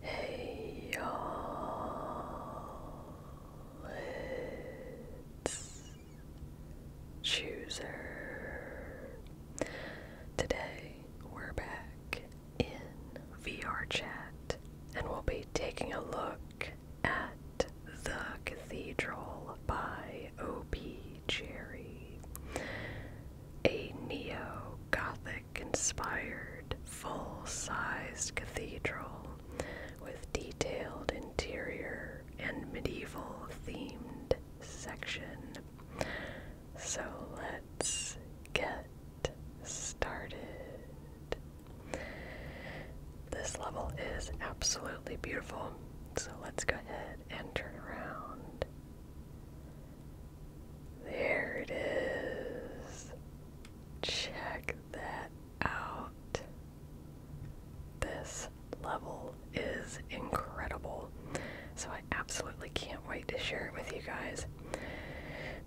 Hey y'all, it's Chooser. Today we're back in VR chat and we'll be taking a look at The Cathedral by O.P. Cherry, a neo gothic Conspired full sized cathedral with detailed interior and medieval themed section. So let's get started. This level is absolutely beautiful, so let's go ahead and turn around. There it is. Check that out. This level is incredible. So I absolutely can't wait to share it with you guys.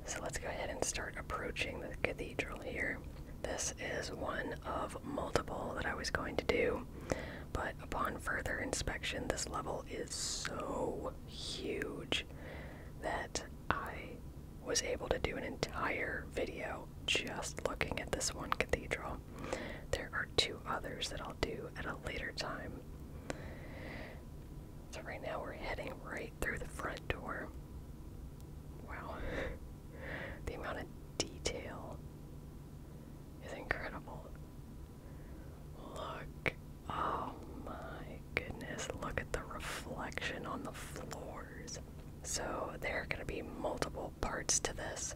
So let's go ahead and start approaching the cathedral here. This is one of multiple that I was going to do, but upon further inspection, this level is so huge that I was able to do an entire video just looking at this one cathedral. There are two others that I'll do at a later time. So, right now we're heading right through the front door. Wow, the amount of detail is incredible. Look. Oh my goodness. Look at the reflection on the floors. So, there are going to be multiple parts to this.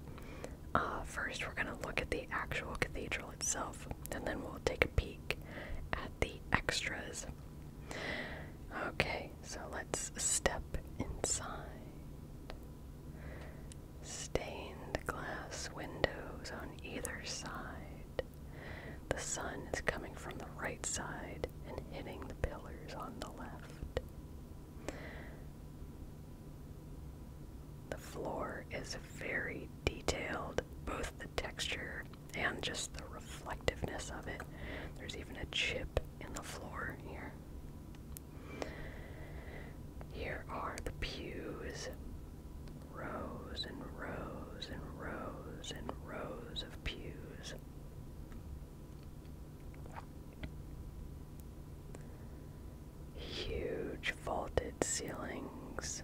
Uh, first, we're going to look at the actual cathedral itself, and then we'll take a peek at the extras. Okay, so let's step inside. Stained glass windows on either side. The sun is coming from the right side and hitting the pillars on the left. The floor is very detailed, both the texture and just the reflectiveness of it. There's even a chip in the floor here. Here are the pews rows and rows and rows and rows of pews. Huge vaulted ceilings,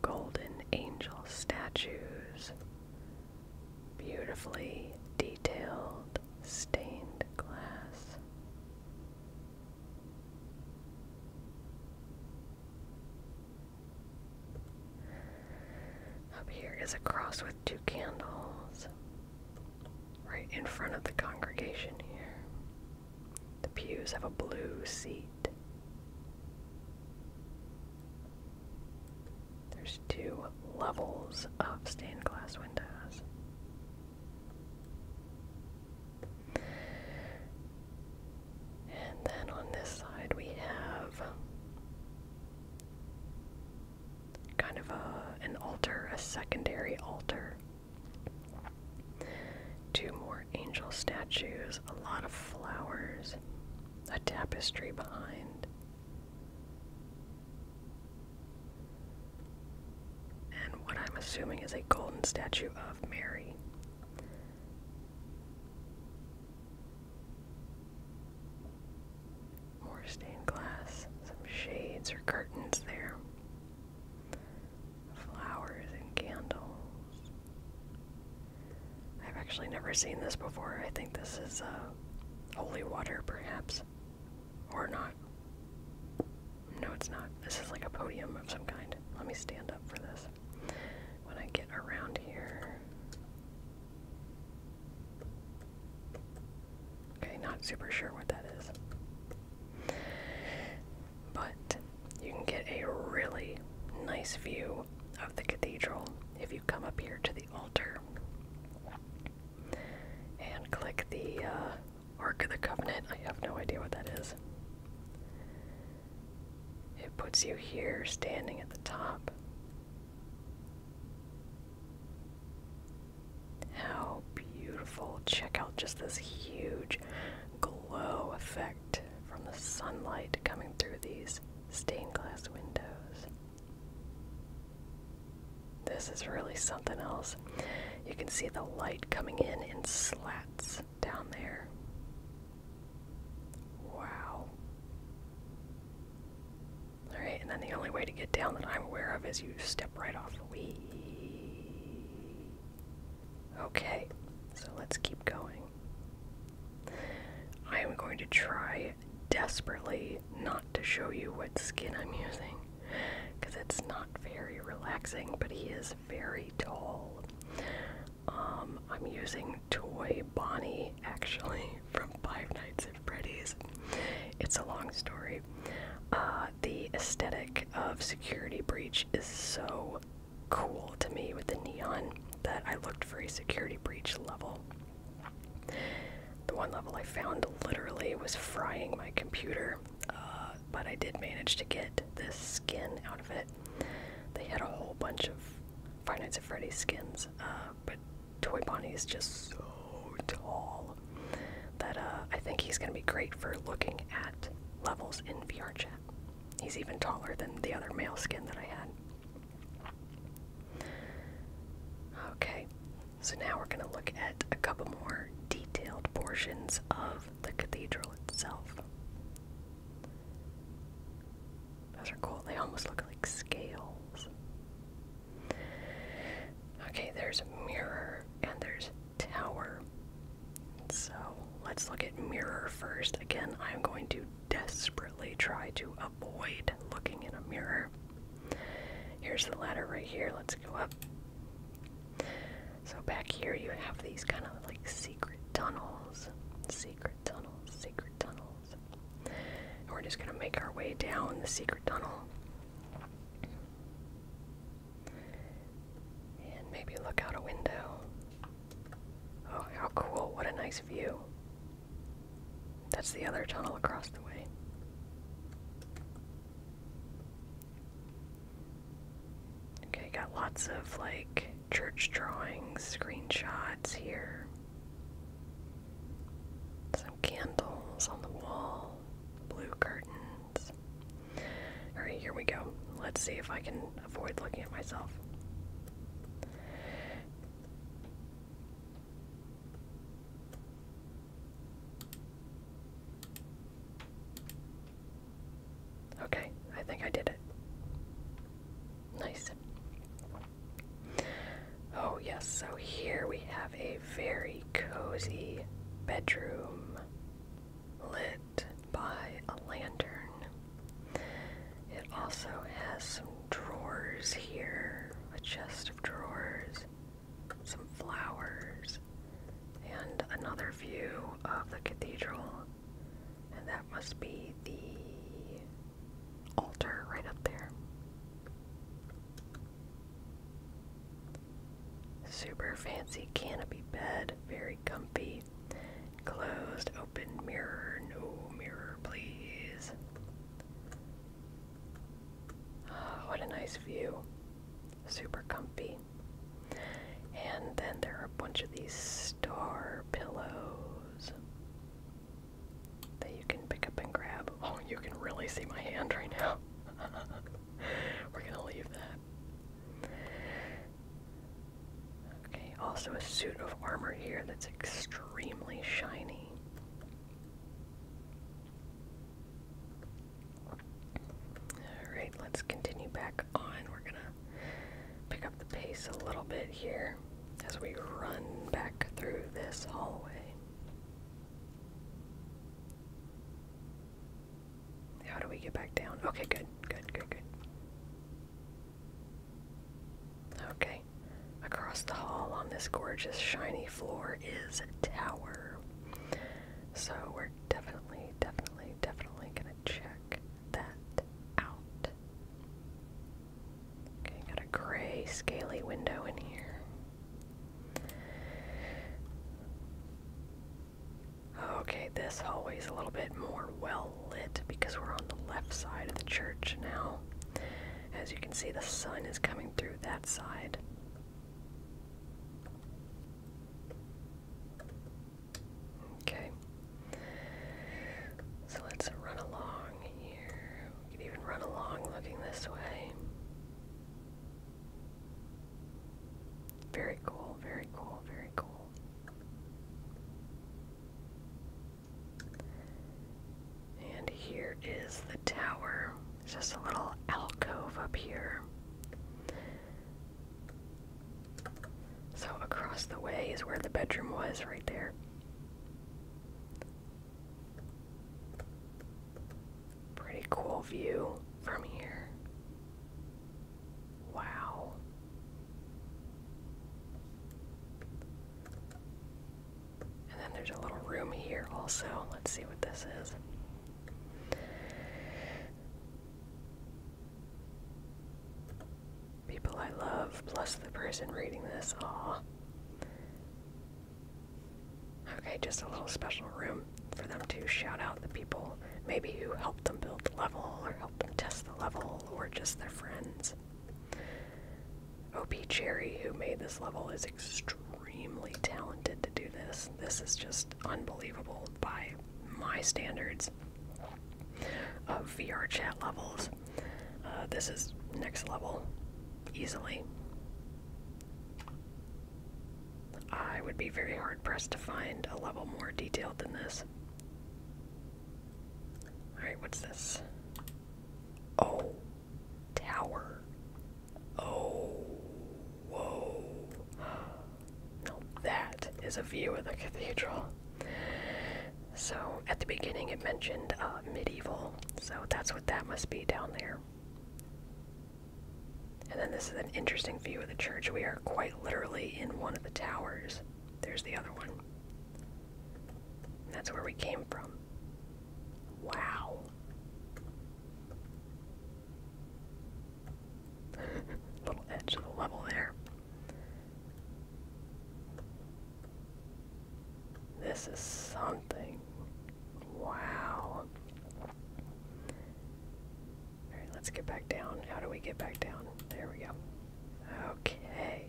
golden angel statues, beautifully detailed stained glass. Up here is a cross with two candles right in front of the congregation here. The pews have a blue seat. There's two levels of stained glass windows. And then on this side we have kind of a an altar, a secondary altar. Two more angel statues, a lot of flowers, a tapestry behind and what I'm assuming is a golden statue of Mary. More stained glass, some shades or curtains there, flowers and candles. I've actually never seen this before. I think this is uh, holy water, perhaps. Or not? No, it's not. This is like a podium of some kind. Let me stand up for this. When I get around here. Okay, not super sure what that is. But you can get a really nice view of the cathedral if you come up here to the altar and click the uh, Ark of the Covenant. I have no idea what that is. It puts you here standing at the top. How beautiful. Check out just this huge glow effect from the sunlight coming through these stained glass windows. This is really something else. You can see the light coming in in slats down there. Wow. Alright, and then the only way to get down that I'm aware of is you step right off. the we. Okay, so let's keep going. I am going to try desperately not to show you what skin I'm using because it's not very relaxing, but he is very tall. Um, I'm using Toy Bonnie actually from Five Nights at Freddy's. It's a long story. Uh, the aesthetic of Security Breach is so cool to me with the neon that I looked for a Security Breach level. The one level I found literally was frying my computer, uh, but I did manage to get this skin out of it. They had a whole bunch of Five Nights at Freddy's skins, uh, but Toy Bonnie is just so tall that uh, I think he's going to be great for looking at levels in VR chat. He's even taller than the other male skin that I had. Okay, so now we're going to look at a couple more detailed portions of the cathedral itself. Those are cool. They almost look like scales. Okay, there's mirror and there's tower. So let's look at mirror first. Again, I'm going to desperately try to avoid looking in a mirror. Here's the ladder right here. Let's go up. So back here you have these kind of like secret tunnels, secret tunnels, secret tunnels. And we're just gonna make our way down the secret tunnel. And maybe look out a window. Oh, how cool. What a nice view. That's the other tunnel across the way. Okay, got lots of like church drawings, screenshots here. Some candles on the wall, blue curtains. Alright, here we go. Let's see if I can avoid looking at myself. Okay, I think I did it. Nice. Oh, yes, so here we have a very cozy bedroom lit by a lantern. It also has some drawers here, a chest of drawers, some flowers, and another view of the cathedral. And that must be the altar right up there. Super fancy canopy bed, very comfy. Closed, open mirror, no mirror, please. What a nice view. Super comfy. And then there are a bunch of these star pillows that you can pick up and grab. Oh, you can really see my hand right now. We're going to leave that. Okay, also a suit of armor here that's extremely shiny. Alright, let's continue back on. We're gonna pick up the pace a little bit here as we run back through this hallway. How do we get back down? Okay, good, good, good, good. Okay. Across the hall on this gorgeous shiny floor is a tower. So we're definitely, definitely, definitely gonna check that out. Okay, got a gray scaly window in here. Okay, this hallway's a little bit more well lit because we're on the left side of the church now. As you can see, the sun is coming through that side. Okay. So let's run along here. We can even run along looking this way. Very cool, very cool, very cool. And here is the tower. It's just a little alcove up here. So across the way is where the bedroom was, right there. Pretty cool view from here. Wow. And then there's a little room here also. Let's see what this is. People I love, plus the person reading this. Aw. Okay, just a little special room for them to shout out the people maybe who helped them build the level or helped them test the level or just their friends. OP Cherry, who made this level, is extremely talented to do this. This is just unbelievable by my standards of VR chat levels. Uh, this is next level, easily. I would be very hard pressed to find a level more detailed than this. Alright, what's this? Oh, tower. Oh, whoa. Now that is a view of the cathedral. So, at the beginning it mentioned uh, medieval, so that's what that must be down there. And then this is an interesting view of the church. We are quite literally in one of the towers. There's the other one. That's where we came from. Wow. Little edge of the level there. This is something. Wow. Alright, let's get back down. How do we get back down? There we go. Okay.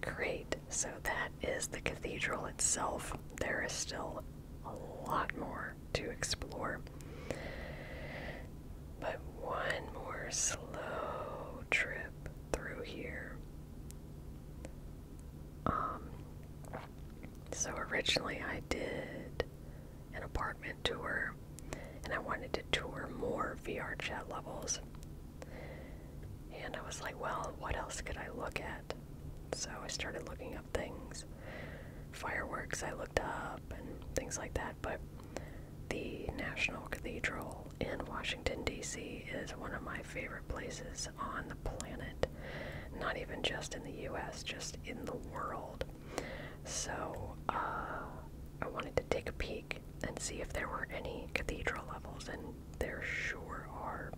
Great, so that is the cathedral itself. There is still a lot more to explore. But one more slow trip through here. Um, so originally I did an apartment tour and I wanted to tour more VR chat levels. And I was like, well, what else could I look at? So I started looking up things. Fireworks I looked up and things like that, but the National Cathedral in Washington, D.C. is one of my favorite places on the planet. Not even just in the U.S., just in the world. So uh, I wanted to take a peek and see if there were any cathedral levels and there sure are.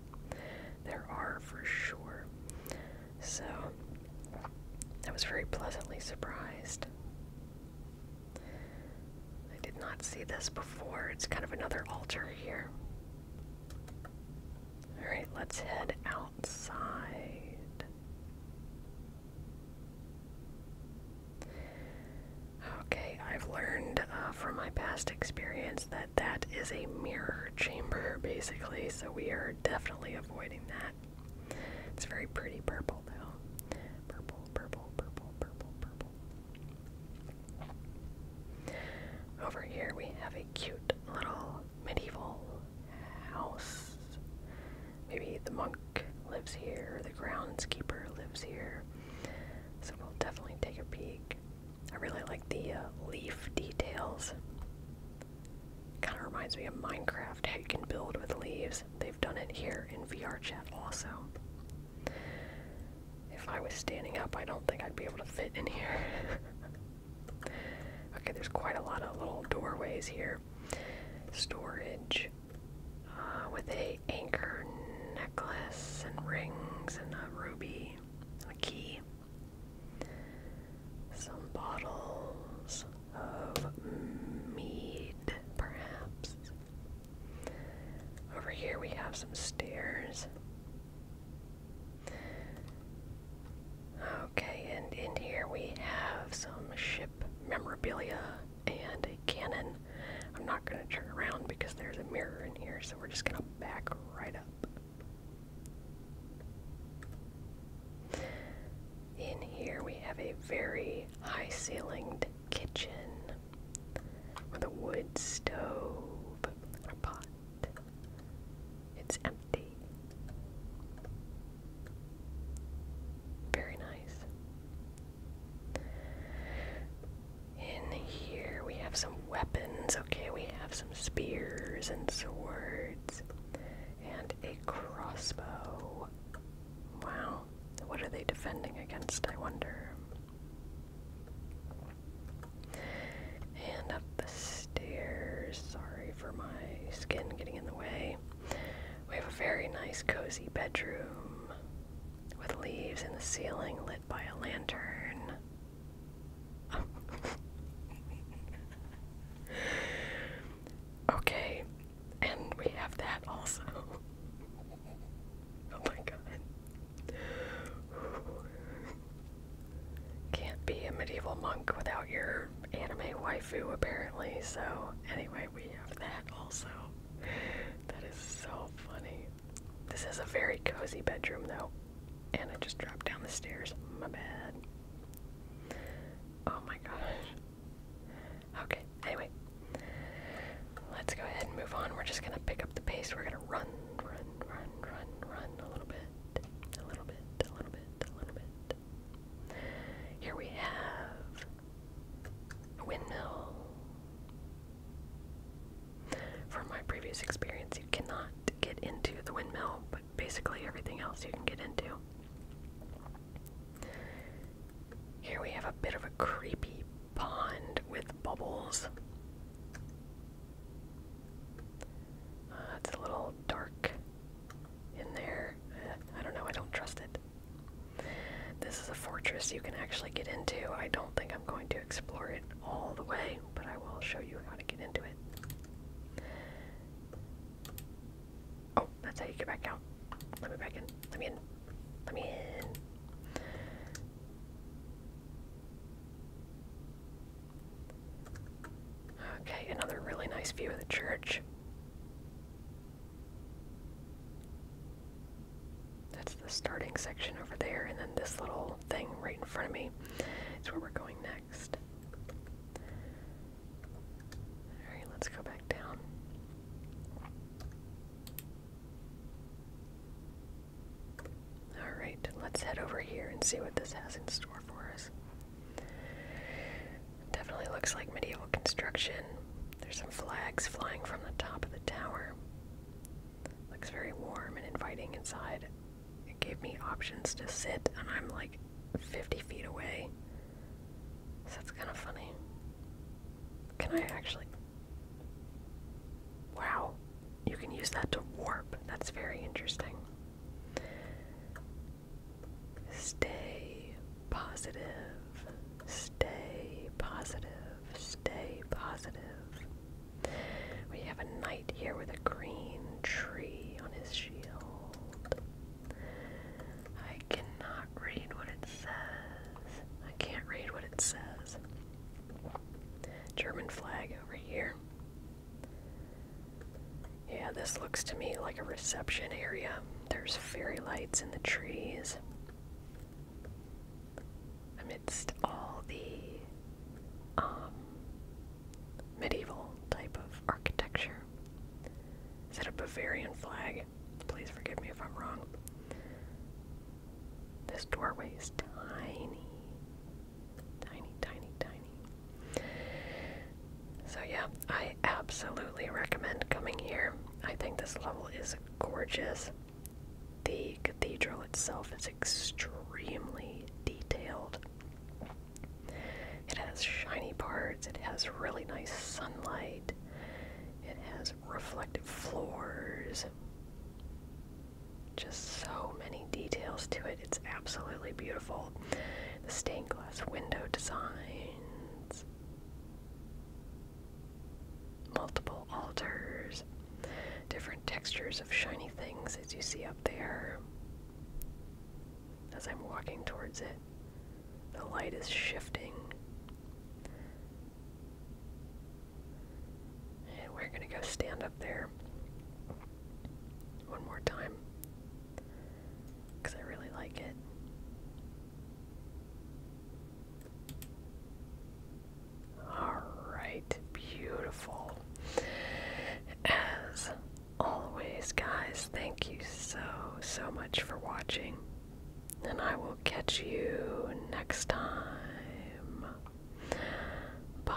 There are for sure. So, I was very pleasantly surprised. I did not see this before. It's kind of another altar here. Alright, let's head outside. Okay, I've learned uh, from my past experience that that is a mirror chamber, basically, so we are definitely avoiding that. It's very pretty purple, though. Purple, purple, purple, purple, purple. Over here we have a cute little medieval house. Maybe the monk lives here, the groundskeeper lives here. So we'll definitely take a peek. I really like the uh, leaf details. Kind of reminds me of Minecraft, how you can build with leaves. They've done it here in VRChat also. If I was standing up, I don't think I'd be able to fit in here. okay, there's quite a lot of little doorways here. Storage uh, with a anchor necklace and rings and a ruby a key. Some bottles of mead, perhaps. Over here we have some stairs. Okay, and in here we have some ship memorabilia and a cannon. I'm not going to turn around because there's a mirror in here, so we're just going to back right up. In here we have a very high ceilinged kitchen with a wood stove a pot. It's empty. Very nice. In here we have some weapons. Okay, we have some spears and swords and a crossbow. Wow, what are they defending against, I wonder? And up the stairs, sorry for my skin getting in the way. We have a very nice, cozy bedroom with leaves in the ceiling lit by a lantern. okay, and we have that also. oh my god. Can't be a medieval monk without your anime waifu, apparently. So, anyway, we have that also. That is so funny. This is a very cozy bedroom, though. And I just dropped down the stairs. My bad. Oh my gosh. Okay, anyway. Let's go ahead and move on. We're just gonna pick up the pace. We're gonna run, run, run, run, run a little bit. A little bit, a little bit, a little bit. Here we have windmill. From my previous experience, you cannot get into the windmill, but basically everything else you can get into. Here we have a bit of a creepy pond with bubbles. Uh, it's a little dark in there. Uh, I don't know, I don't trust it. This is a fortress you can actually get into. I don't think I'm going to explore it all the way, but I will show you how to get into it. Oh, that's how you get back out. Let me back in. Let me in. Let me in. Okay, another really nice view of the church. That's the starting section over there, and then this little thing right in front of me is where we're going next. Alright, let's go back down. Alright, let's head over here and see what this has in store for us. Definitely looks like medieval construction. There's some flags flying from the top of the tower. Looks very warm and inviting inside. It gave me options to sit, and I'm like 50 feet away. So that's kind of funny. Can I actually. Wow, you can use that to warp. That's very interesting. Stay positive. Stay positive. Stay positive. We have a knight here with a green tree on his shield. I cannot read what it says. I can't read what it says. German flag over here. Yeah, this looks to me like a reception area. There's fairy lights in the trees amidst all the um, medieval type of architecture. Is it a Bavarian flag? Please forgive me if I'm wrong. This doorway is tiny. Tiny, tiny, tiny. So, yeah, I absolutely recommend coming here. I think this level is gorgeous. The cathedral itself is extremely detailed. It has shiny parts, it has really nice sunlight, it has reflective floors. Just so many details to it. It's absolutely beautiful. The stained glass window designs multiple altars, different textures of shiny things as you see up there. As I'm walking towards it, the light is shifting. And we're going to go stand up there one more time because I really like it. All right, beautiful. As always, guys, thank you so, so much for watching. And I will catch you next time. Bye.